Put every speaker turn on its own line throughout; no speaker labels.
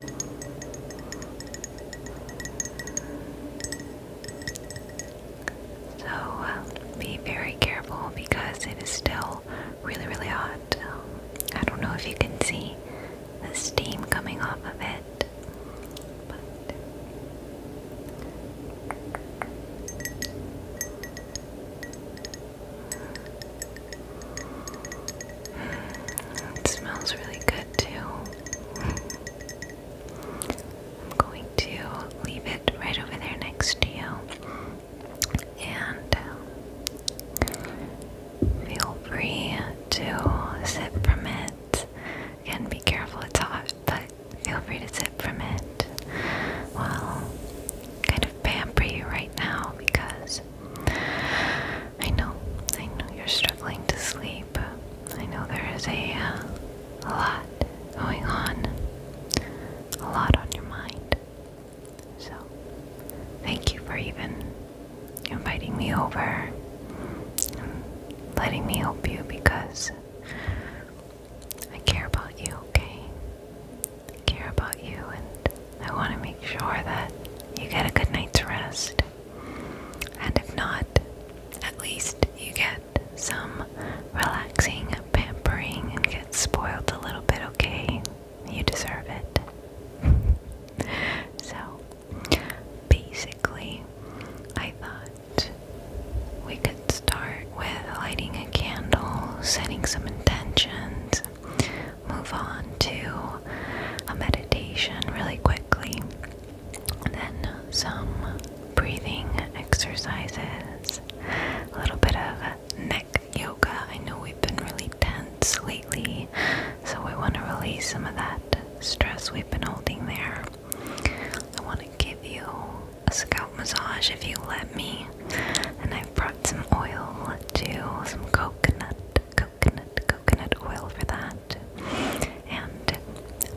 So um, be very careful because it is still really, really hot. I don't know if you can see the steam coming off of it, but it smells really good too. I'm going to leave it right over there next to you and um, feel free to sip from it. Again, be careful, it's hot, but feel free to sip from it. Well, kind of pamper you right now because I know, I know you're struggling to sleep. I know there is a, uh, a lot going on, a lot on your mind. So, thank you for even inviting me over letting me help you because I care about you, okay? I care about you and I want to make sure that you get a good night's rest. And if not, at least you get some relaxing pampering and get spoiled a little bit, okay? You deserve it. so, basically, I thought we could start with lighting a candle, setting some intentions, move on to a meditation really quickly, and then some breathing exercises, a little bit of neck yoga. I know we've been really tense lately, so we want to release some of that stress we've been holding there. I want to give you a scalp massage if you let me, and I've brought some oil to some coconut, coconut, coconut oil for that. And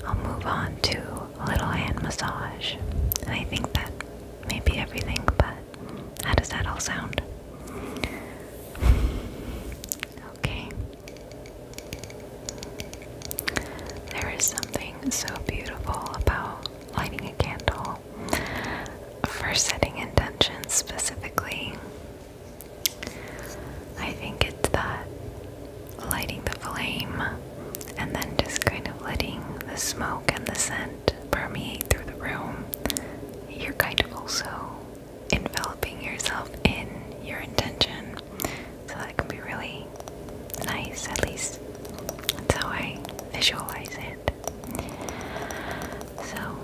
I'll move on to a little hand massage. And I think that maybe everything, but how does that all sound? Okay. There is something so beautiful about lighting a candle for setting intentions specifically. I think it's that lighting the flame and then just kind of letting the smoke and the scent permeate through the room. You're kind of also enveloping yourself in your intention. So that can be really nice, at least that's how I visualize it. So,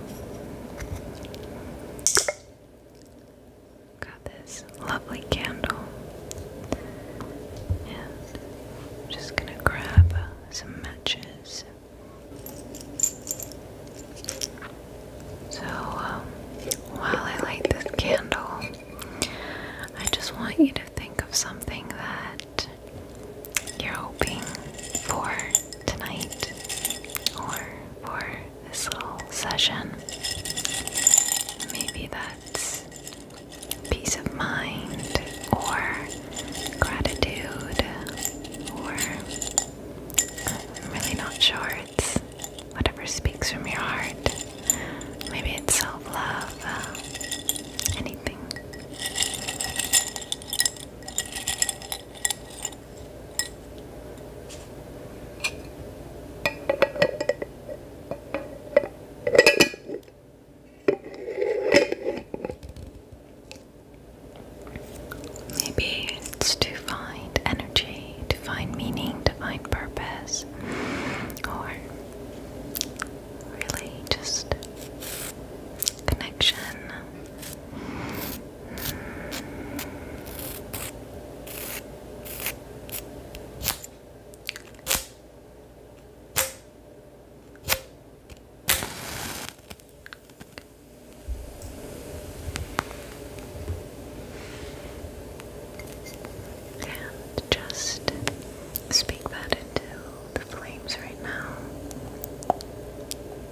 got this lovely candle, and I'm just gonna grab some matches. So, um, while I light this candle, I just want you to think of something that you're hoping for tonight or for this little session. Maybe that's peace of mind or gratitude or I'm really not sure. It's whatever speaks from your heart. Maybe it's self love, uh, anything. Maybe it's to find energy, to find meaning, to find purpose, or really just connection. And just speak that into the flames right now.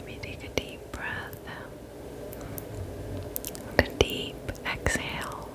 Maybe take a deep breath, and a deep exhale.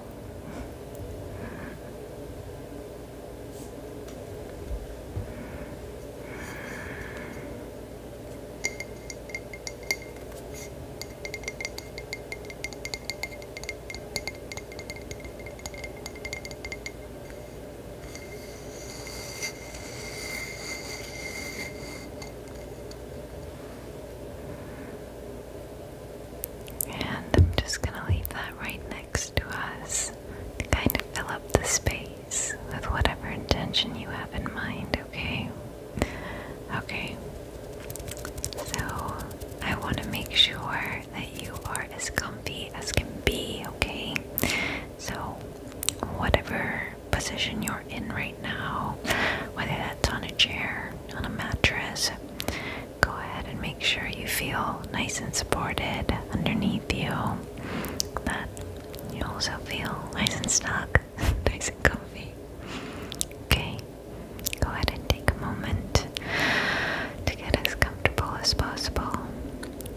And I'm just going to leave that right next to us to kind of fill up the space with whatever intention you have in mind, okay? Okay, so I want to make sure that you are as comfy as can be, okay? So, whatever position you're in right now, whether that's on a chair, on a mattress, go ahead and make sure you feel nice and supported underneath you. That you also feel nice and snug nice and comfy. Okay, go ahead and take a moment to get as comfortable as possible.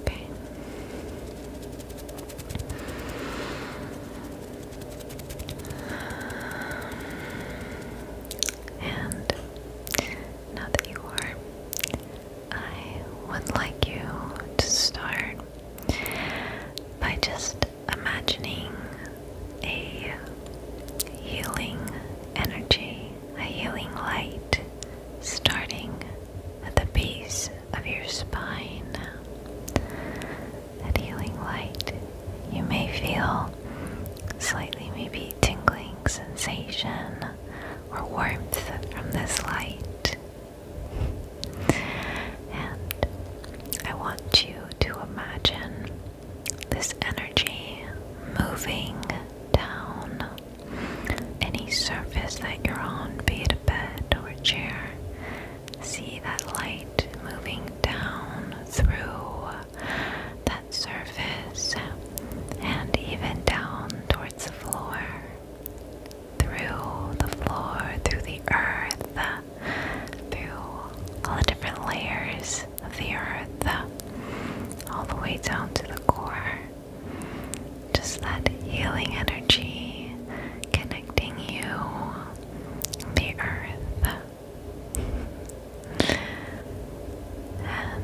Okay. And now that you are, I would like you to start by just imagining a healing energy, a healing light starting at the base of your spine. That healing light, you may feel slightly maybe tingling sensation or warmth from this light. And I want you to imagine this energy moving down any surface that you're on, be it a bed or a chair. See that light moving down through that surface and even down towards the floor. Through the floor, through the earth, through all the different layers of the earth, all the way down to the core. Just that healing energy connecting you, the earth. And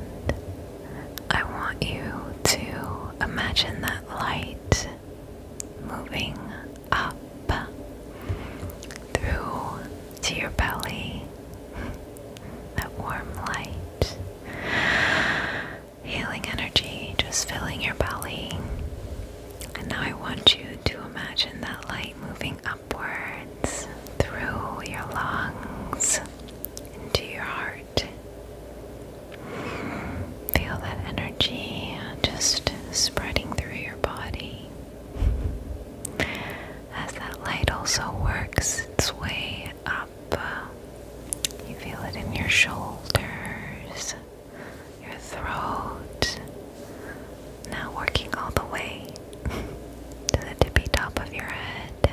I want you to imagine that light moving up through to your belly, that warm light, healing energy just filling your belly. And now I want you to imagine that light moving upwards through your lungs into your heart. Feel that energy just spreading through your body. As that light also works its way up, uh, you feel it in your shoulders, your throat, now working all the way to the tippy top of your head.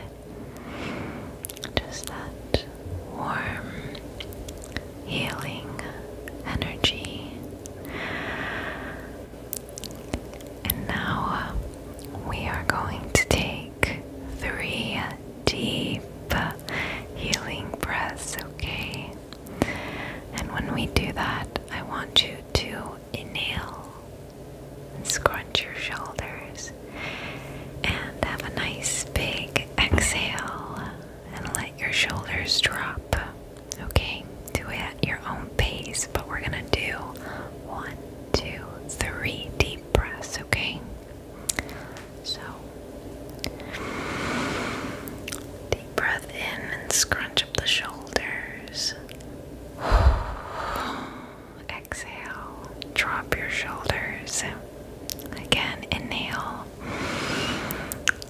Just that warm, healing energy. And now we are going to take three deep healing breaths, okay? And when we do that, I want you to inhale and scrunch your shoulders and have a nice big exhale and let your shoulders drop. Okay, do it at your own pace, but we're gonna do one, two, three deep breaths, okay? So, deep breath in and scrunch up the shoulders. Exhale, drop your shoulders. Again, inhale.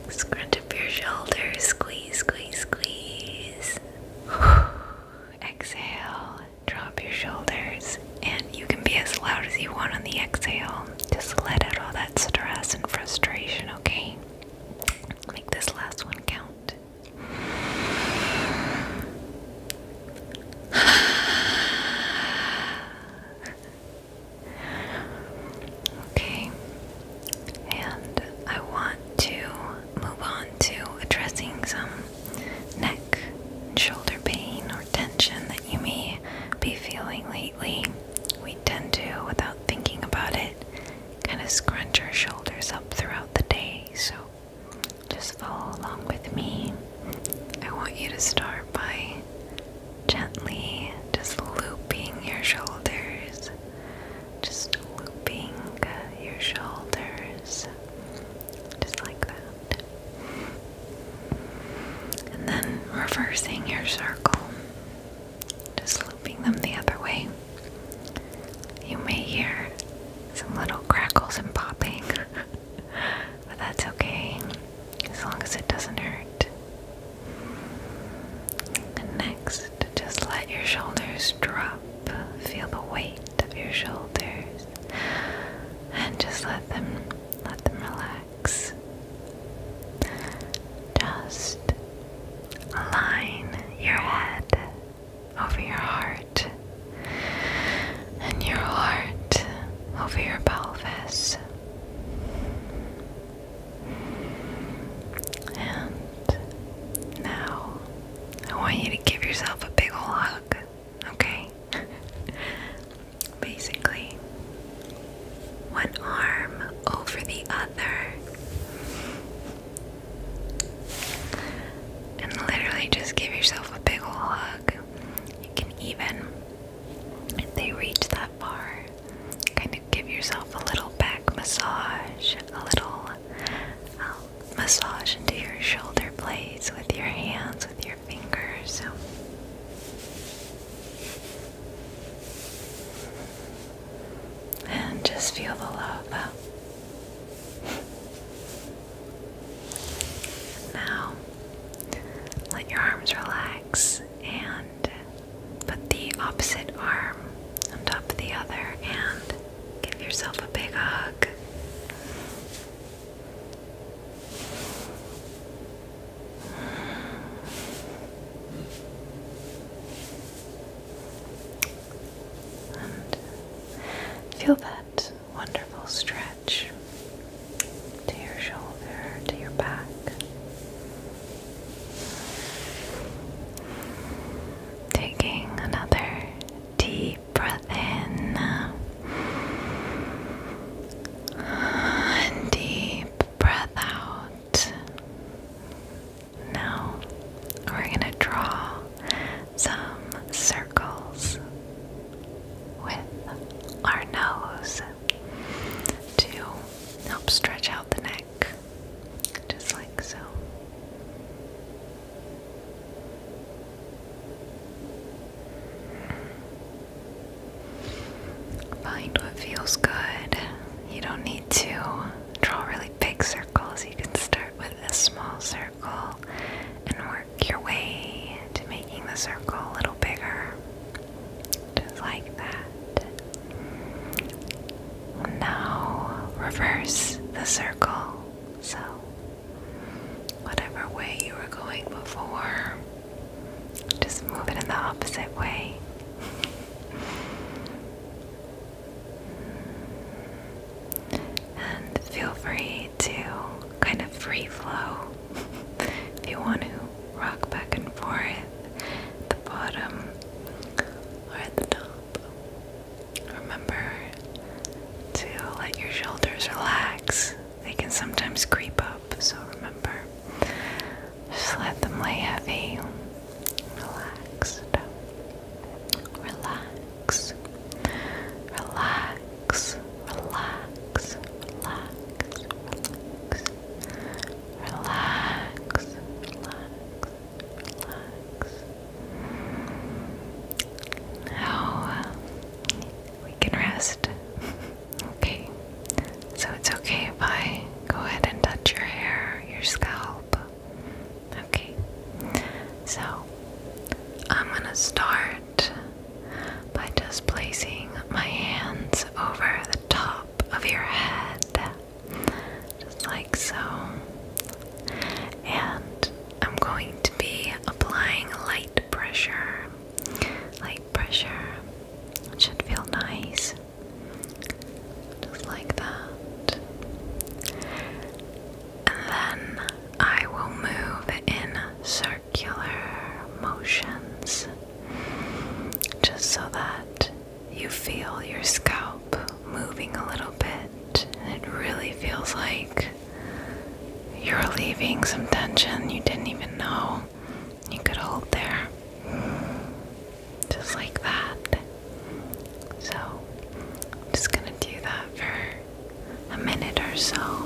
Scrunch up your shoulders, squeeze, squeeze, squeeze. Exhale, drop your shoulders, and you can be as loud as you want on the exhale. Just let out all that stress and frustration, okay? Make this last one count. Okay, and I want to move on to addressing some neck and shoulder pain or tension that you may be feeling lately. We tend to, without thinking about it, kind of scrunch our shoulders up throughout the day. So just follow along with me. I want you to start by gently just looping your shoulders, just looping your shoulders, just like that. And then reversing your circle, just looping them the other way. You may hear some little crackles and popping, but that's okay as long as it doesn't hurt. And next, just let your shoulders drop. Feel the weight of your shoulders and just let them let them relax. Just align your head over your heart and your heart over your pelvis. And now I want you to give yourself a big ol' hug, okay? Basically, one arm over the other. And literally just give yourself a big ol' hug. You can even, if they reach that Kind of give yourself a little back massage, a little um, massage into your shoulder blades with your hands, with your fingers. And just feel the love. Now, let your arms relax and Put the opposite arm on top of the other and give yourself a big hug. And feel that wonderful stretch to your shoulder, to your back. Taking another deep breath in and deep breath out. Now we're going to draw some circles with our nose to help stretch out the neck, just like so. Find what feels good. You don't need to draw really big circles. You can start with a small circle and work your way to making the circle a little bigger. Just like that. Now reverse the circle. So, whatever way you were going before, just move it in the opposite way. and feel free to kind of free flow if you want to rock back and forth the bottom or at the top. Remember to let your shoulders relax. They can sometimes creep up, so remember. Just let them lay heavy. Relaxed. Relax. Relax. Relax. Relax. Relax. Relax relax, relax, relax. Now uh, we can rest. okay, so it's okay if I go ahead and touch your hair, your scalp. Okay, so I'm gonna start by just placing my hands over the top of your head, just like so. And I'm going to be applying light pressure. Light pressure should feel nice, just like that. And then I will move in circle circular motions just so that you feel your scalp moving a little bit it really feels like you're relieving some tension you didn't even know you could hold there. Just like that. So, I'm just gonna do that for a minute or so.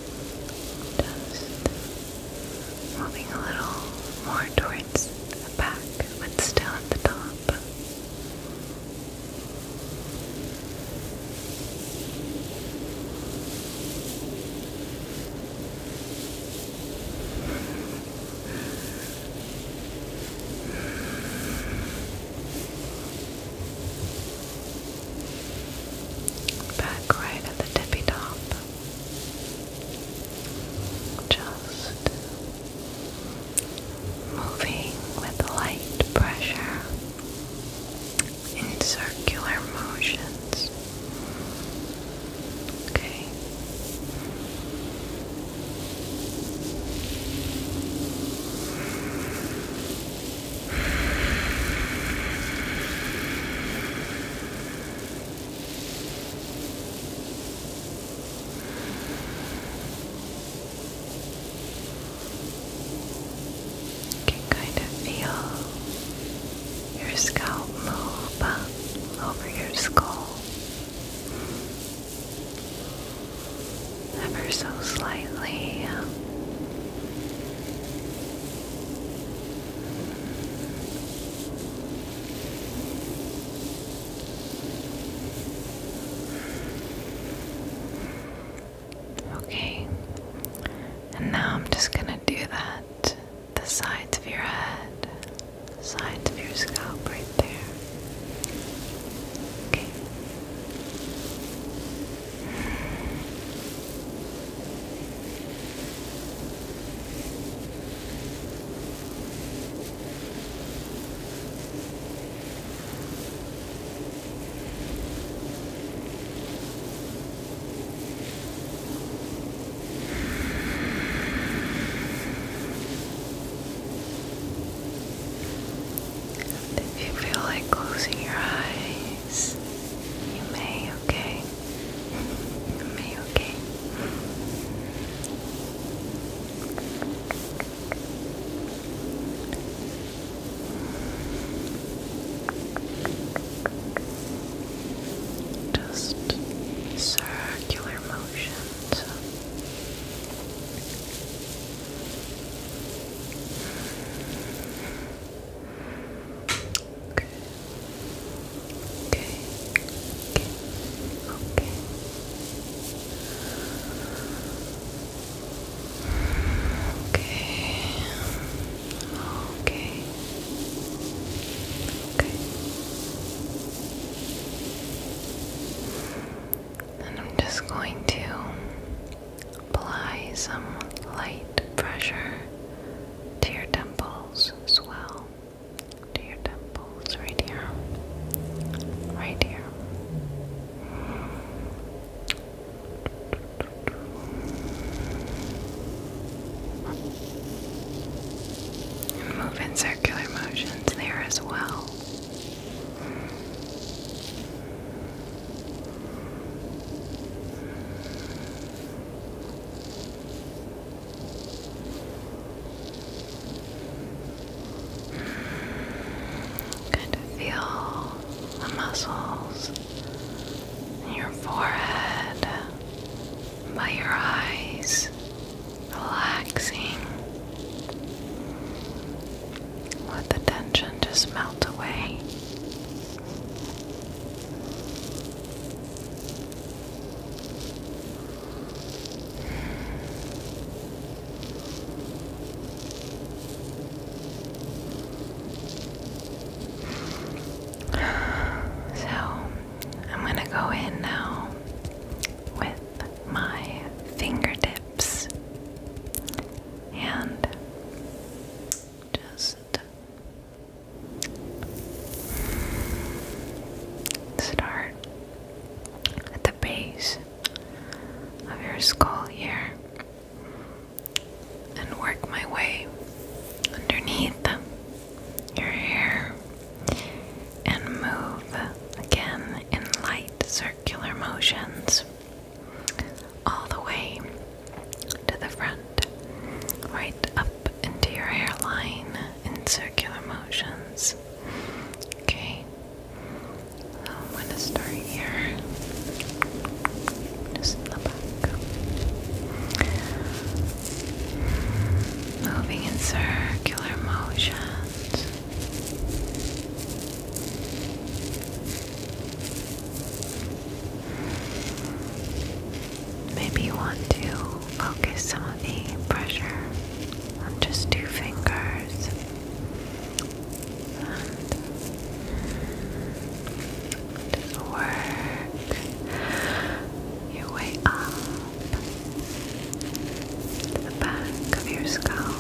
Just moving a little more towards the back, but still at the top back right at the tippy top. Just moving with light pressure in circular motions. Okay can kind of feel your scalp move over your skull ever so slightly. Okay, and now I'm just gonna do that the sides of your head, sides of your scalp right there. Okay. If you feel like closing your eyes, you may, okay? You may, okay? Just circular motions. Okay. Okay. Okay. Okay. Okay. Okay. Okay. And I'm just going to Apply some light pressure to your temples as well. To your temples, right here. Right here. move in circular motions there as well. Good. Feel the muscles in your forehead, by your eyes, relaxing. Let the tension just melt away. So, I'm going to go in now with my fingertips and just start at the base of your skull here and work my way underneath your hair and move again in light circular motions all the way to the front, right up into your hairline in circular motions. Okay, I'm going to start here, just in the back, moving in circular motions. Maybe you want to focus some of the pressure on just two fingers. just work your way up to the back of your scalp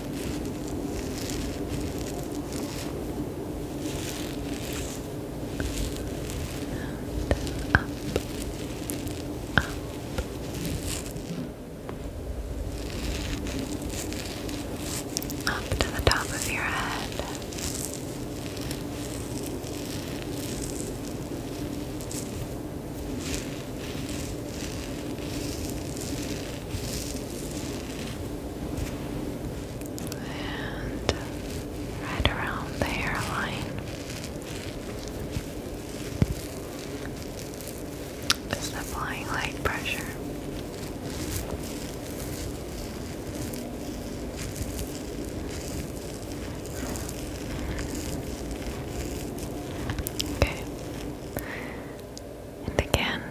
up, up. Up to the top of your head. And right around the hairline. Just applying light pressure. Okay and again,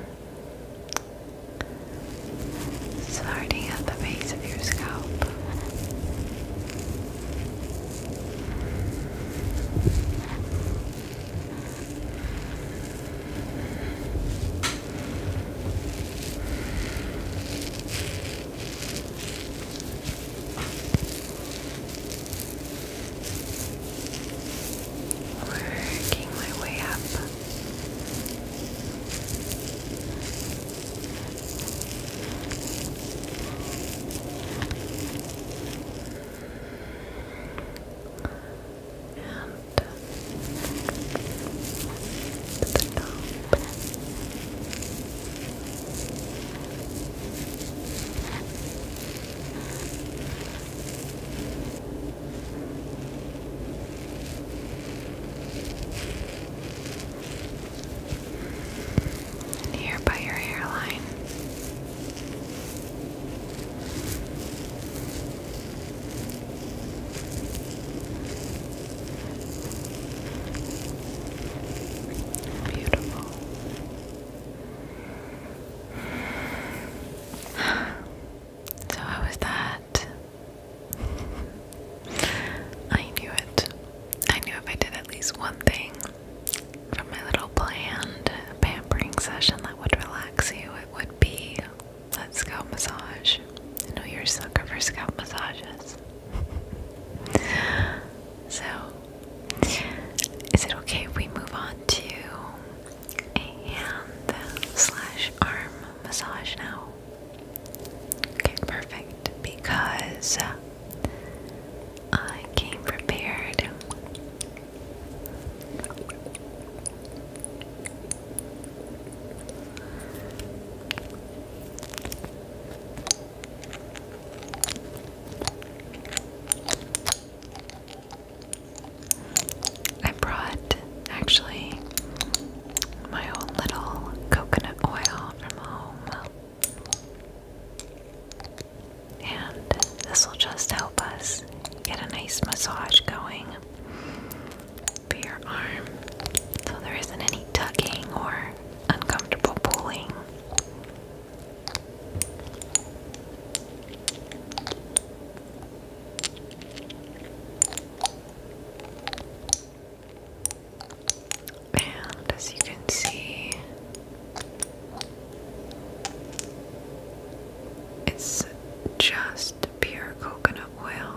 starting at the base of your scalp. Working my way up. And the top. Here by your hairline. Beautiful. So, how was that? I knew it. I knew if I did at least one thing from my little planned pampering session that would relax you, it would be that scalp massage. I know you're a sucker for scalp massages. so, is it okay if we move on to hand slash arm massage now? Okay, perfect. Because uh, I came prepared. I brought actually my own little coconut oil from home. And this will just help us get a nice massage going for your arm so there isn't any tugging or uncomfortable pulling. And as you can see, it's just pure coconut oil.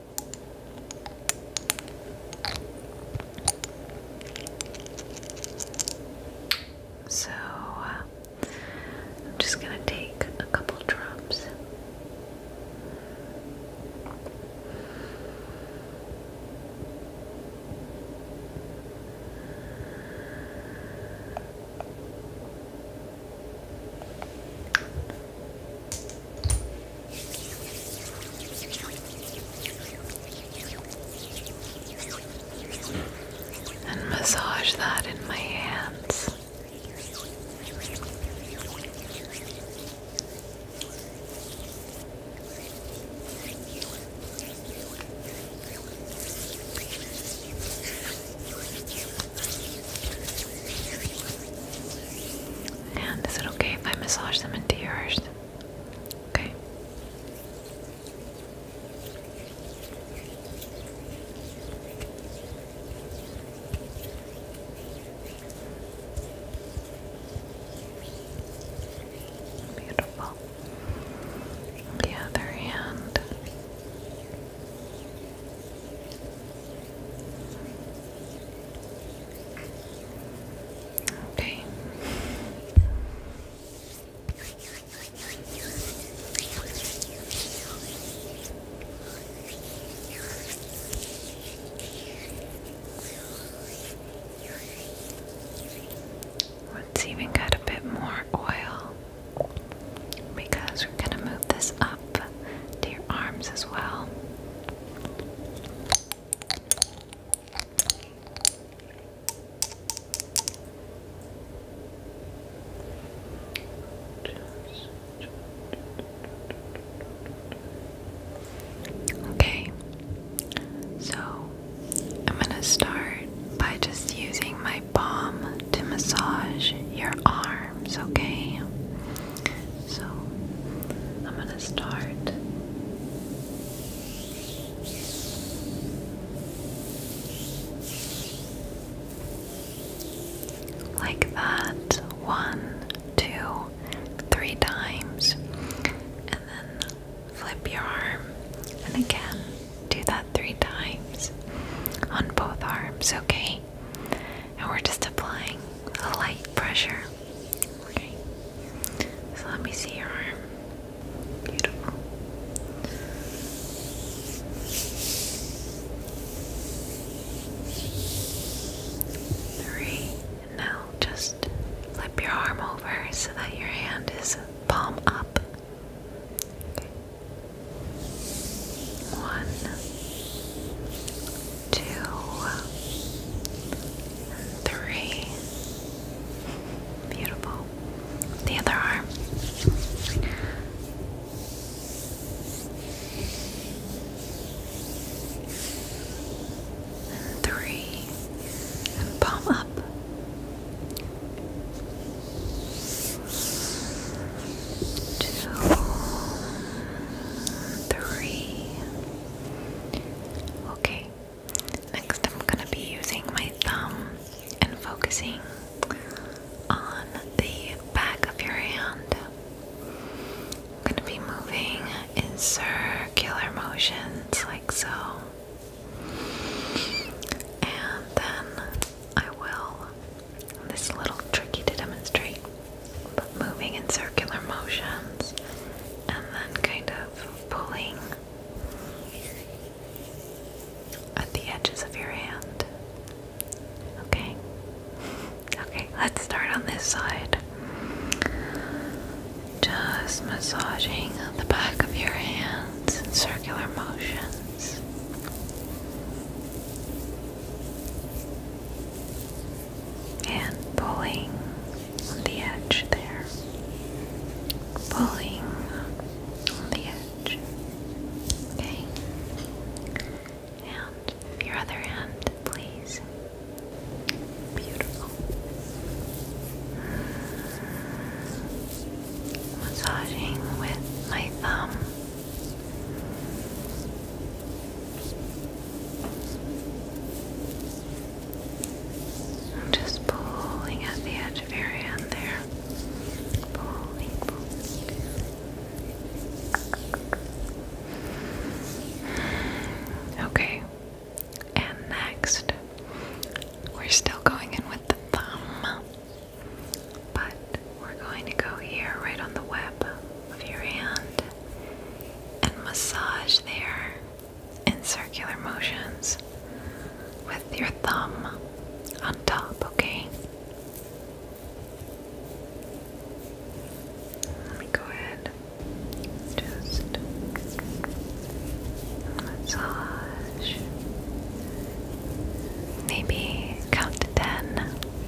So uh, I'm just going to take a couple drops and massage that in my hands. And is it okay if I massage them into yours? Okay. Beautiful. The other hand. Okay. Let's even get a bit more oil because we're going to move this up to your arms as well. Okay, so I'm going to start by just using my palm to massage your arm okay? So, I'm gonna start. Like that, one, two, three times, and then flip your arm, and again, do that three times on both arms, okay? And we're just applying a light pressure. Okay. So let me see your arm. Beautiful. Three. now just flip your arm over so that your hand is palm up. Okay. One two, three. Beautiful. The other arm. Three. And palm up. Two three. Okay, next I'm going to be using my thumb and focusing on the back of your hand. I'm going to be moving in circular motions like so. And then I will this is a little tricky to demonstrate, but moving in circular motions and then kind of pulling at the edges of your hand. Okay. Okay, let's start on this side. Just massaging the back of your hands in circular motions and pulling on the edge there, pulling on the edge. Okay, and your other hand, please. Beautiful. Massaging with my thumb just pulling at the edge of your hand there. Okay. And next, we're still going in with the thumb, but we're going to go here right on the web of your hand and massage there in circular motions with your thumb on top, okay? Let me go ahead. Just massage. Maybe count to ten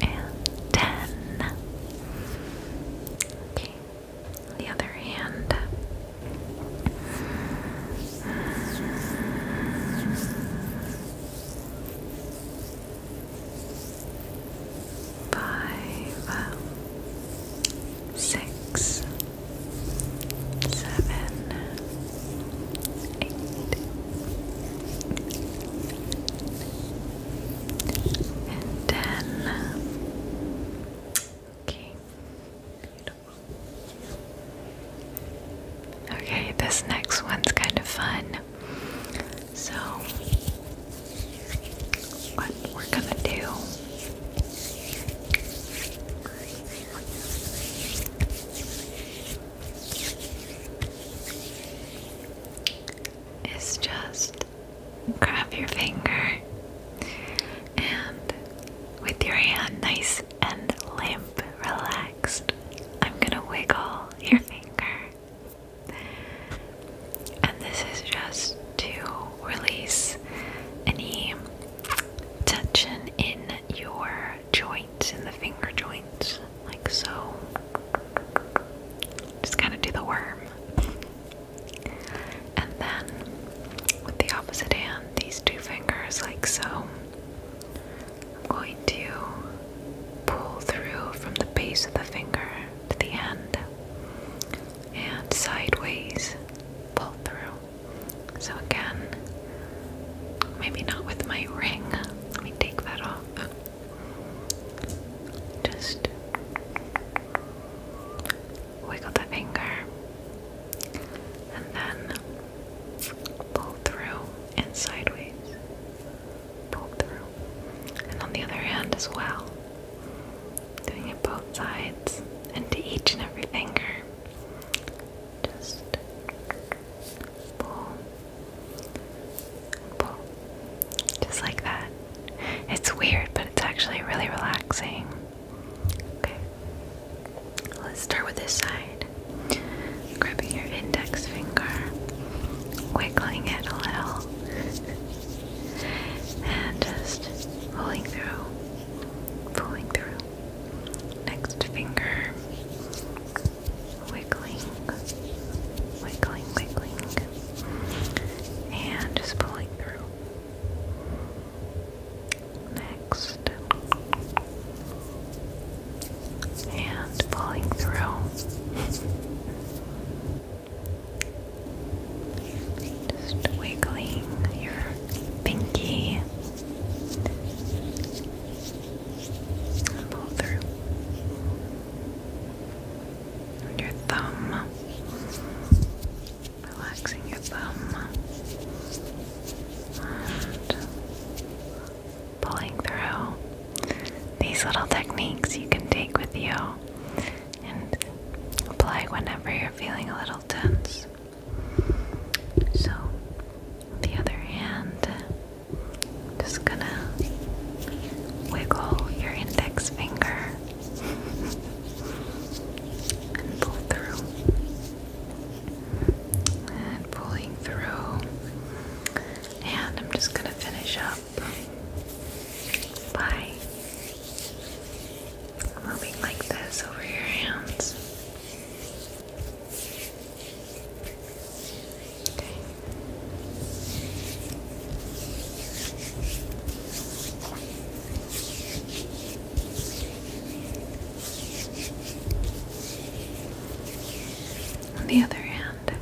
and ten. Okay, the other hand. Five, uh, six, seven, eight, Okay, Okay, this next one's kind of fun. So, what we're gonna do is just grab your finger and with your hand nice and limp, relaxed, I'm gonna wiggle your finger. And this is just to release any tension in your joints, in the finger joints like so. Just kind of do the worm. And then with the opposite hand, these two fingers, like so, I'm going to pull through from the base of the finger to the end and sideways pull through. So, again, maybe not with my ring. Let me take that off. Just wiggle the finger and then pull through and sideways. Pull through. And on the other hand as well. Doing it both sides and to each and every finger. Just pull, pull, just like that. It's weird, but it's actually really relaxing. Okay, let's start with this side. Grabbing your index finger, wiggling it a little, and just pulling through, pulling through. Next finger, wiggling, wiggling, wiggling, and just pulling through. Next, and pulling through. Just wiggling your pinky pull through your thumb, relaxing your thumb, and pulling through. These little techniques you can take with you and apply whenever you're feeling a little tense. So, the other hand, just gonna wiggle your index finger and pull through. And pulling through. And I'm just gonna finish up by moving like this over your hands. On the other hand,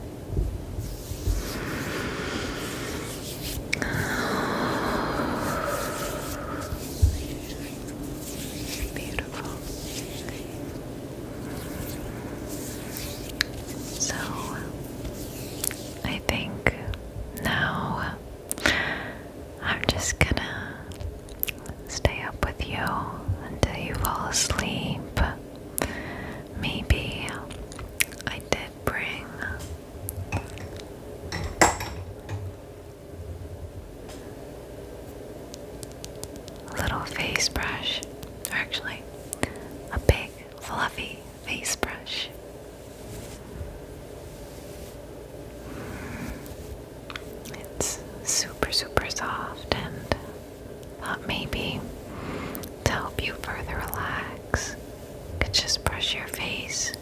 so, I think now I'm just gonna stay up with you until you fall asleep. Maybe I did bring. A little face brush or actually a big fluffy face brush. It's super, super soft, and thought maybe to help you further relax, could just brush your face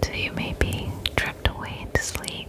till you maybe drift away into sleep.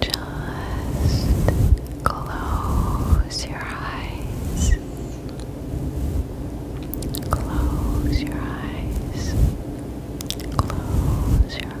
Just close your eyes. Close your eyes. Close your eyes.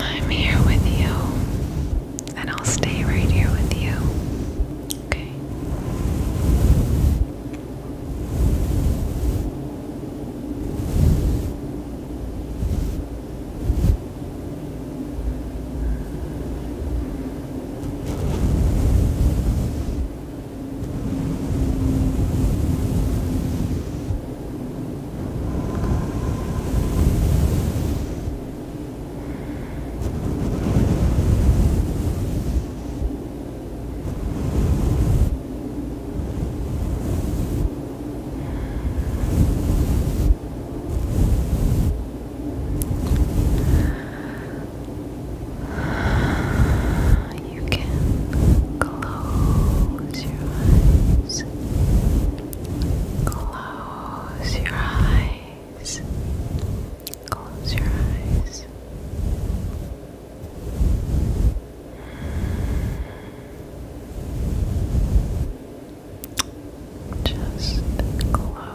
I'm here with you, and I'll stay right here with you. Okay. You can close your eyes. Close. Close your eyes. Close your eyes. Just close your eyes.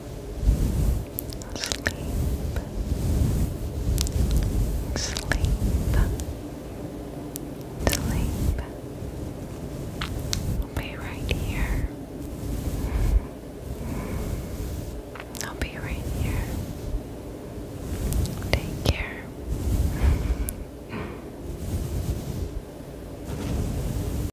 sleep, sleep, sleep. I'll be right here. I'll be right here. Take care.